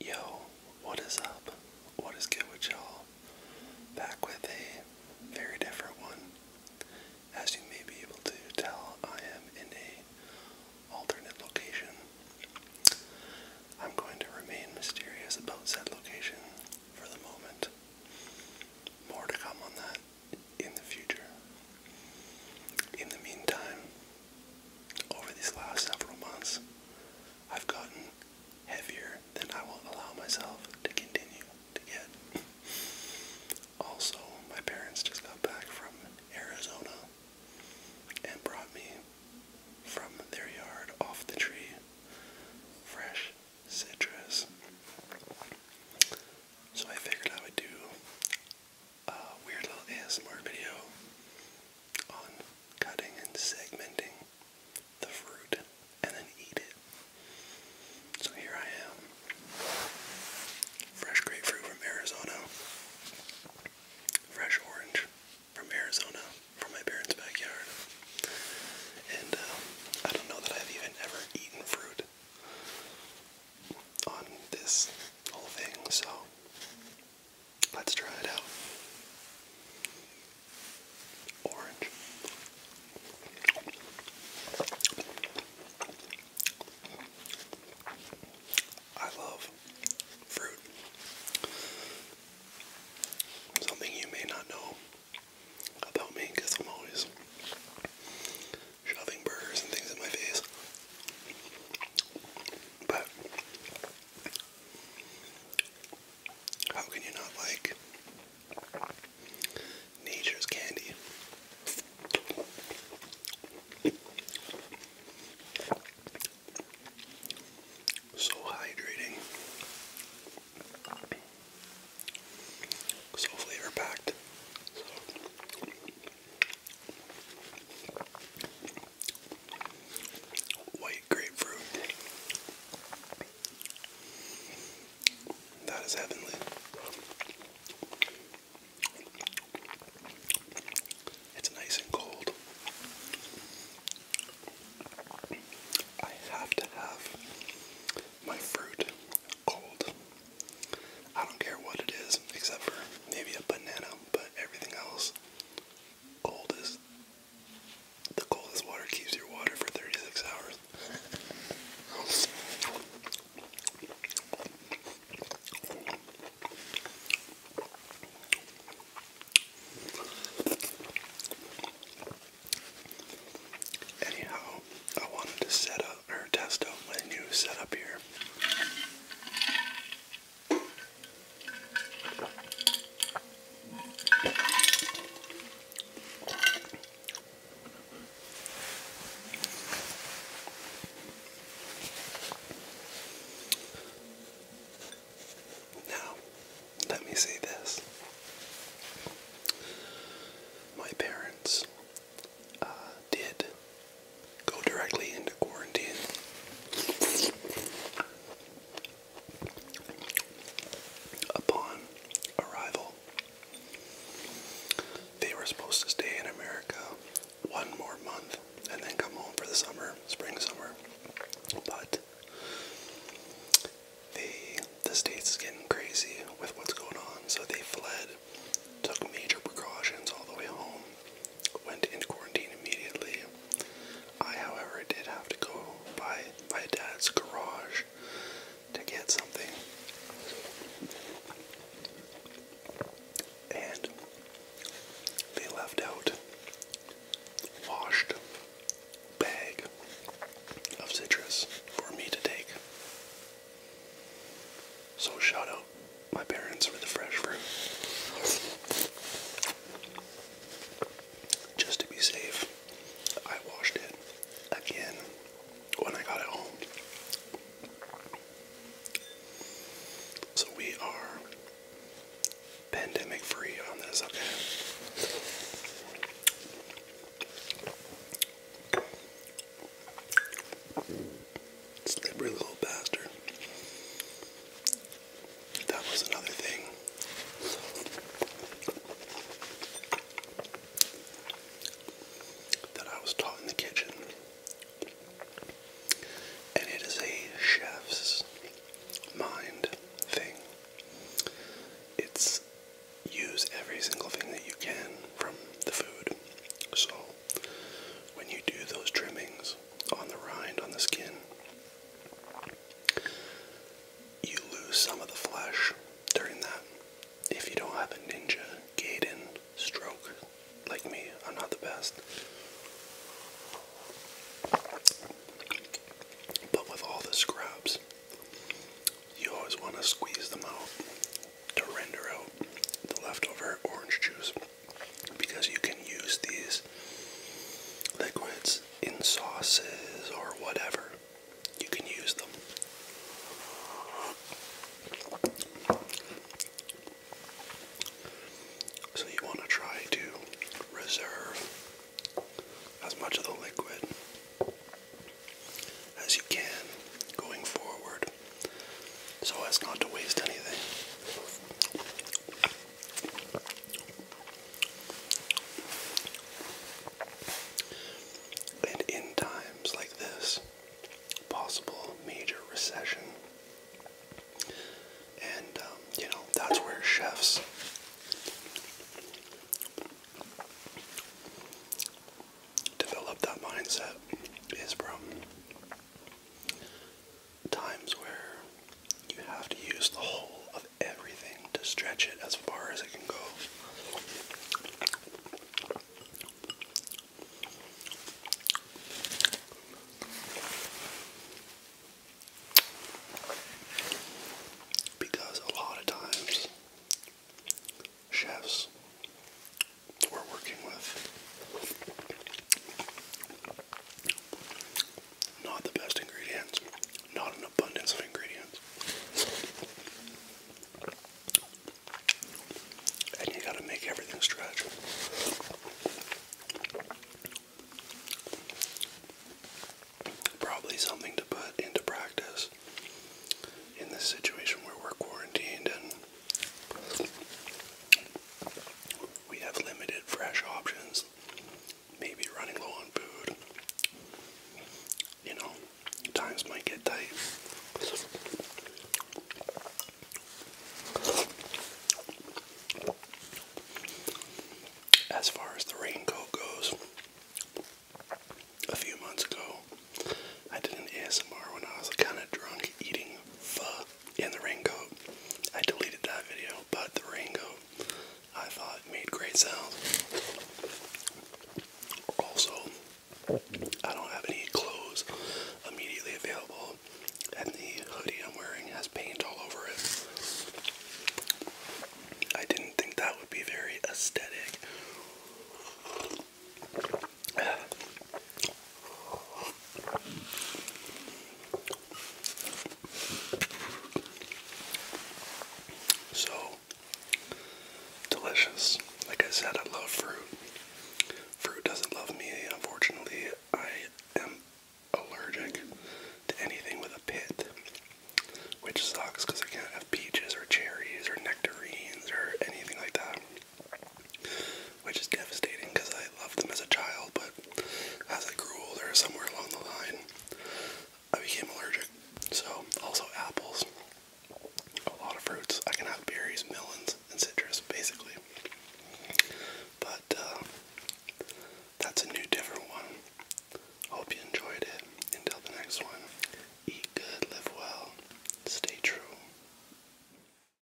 Yo, what is up? What is good with y'all? Back with a very different one. As you may be able to tell, I am in a alternate location. I'm going to remain mysterious about said location for the moment. More to come on that in the future. In the meantime, over these last several months, I've gotten heavier than I will allow myself to continue to get. also, my parents just got back from Arizona and brought me from their yard off the tree fresh citrus. So I figured I would do a uh, weird little ASMR video on cutting and segmenting the fruit and then eat it. So here I am. Fresh grapefruit from Arizona. Fresh orange from Arizona, from my parents' backyard. And um, I don't know that I've even ever eaten fruit on this whole thing, so Let's try it out. Orange. I love fruit. Something you may not know about me because I'm always shoving burgers and things in my face. But how can you not like nature's candy? So hydrating. So flavor packed. White grapefruit. That is heavenly. It's nice and cold. I have to have my fruit cold. I don't care what it is, except for maybe a banana, but everything else coldest. The coldest water keeps your water for 36 hours. Anyhow, I wanted to set up or test out my new setup here. Now, let me say this. My parents uh, did go directly into quarantine. Upon arrival, they were supposed to stay in America one more month and then come home for the summer, spring, summer. But they, the state's getting crazy with what's going on, so they fled, took major precautions all the way home, went into quarantine immediately. I, however, did have to go by my dad's garage to get something. And they left out washed bag of citrus for me to take. So shout out my parents were the fresh fruit. Just to be safe, I washed it again when I got it home. So we are pandemic free on this, okay? Slippery little bastard. That was another thing. That I was taught in the kitchen, and it is a chef's mind thing. It's use every single thing that you can from the food. So, when you do those trimmings on the rind, on the skin, you lose some of the flesh during that. If you don't have a ninja, Gaiden, stroke like me, I'm not the best. But with all the scraps, you always want to squeeze them out to render out the leftover orange juice because you can use these liquids in sauces or whatever. You can use them. So you want to try to reserve as much of the liquid as you can going forward so as not to waste anything. And in times like this, possible major recession, and um, you know, that's where chefs. Develop that mindset is from times where you have to use the whole of everything to stretch it as far as it can go. Because a lot of times, chefs we're working with. Not the best ingredients, not an abundance of ingredients. And you gotta make everything stretch. Probably something to put into practice in this situation where we're quarantined and we have limited fresh options. Maybe running low on food. You know, times might get tight. As far as the raincoat goes, a few months ago, I did an ASMR when I was kind of drunk eating pho and the raincoat. I deleted that video, but the raincoat I thought made great sounds. Also, I don't have any clothes immediately available, and the hoodie I'm wearing has paint all over it. I didn't think that would be very aesthetic. So delicious. Like I said, I love fruit. Fruit doesn't love me. Unfortunately, I am allergic to anything with a pit, which sucks because I can't have peaches or cherries or nectarines or anything like that which is devastating because I loved them as a child, but as I grew older, somewhere along the line, I became allergic. So, also apples, a lot of fruits. I can have berries, melons, and citrus, basically. But uh, that's a new, different one. Hope you enjoyed it. Until the next one, eat good, live well, stay true.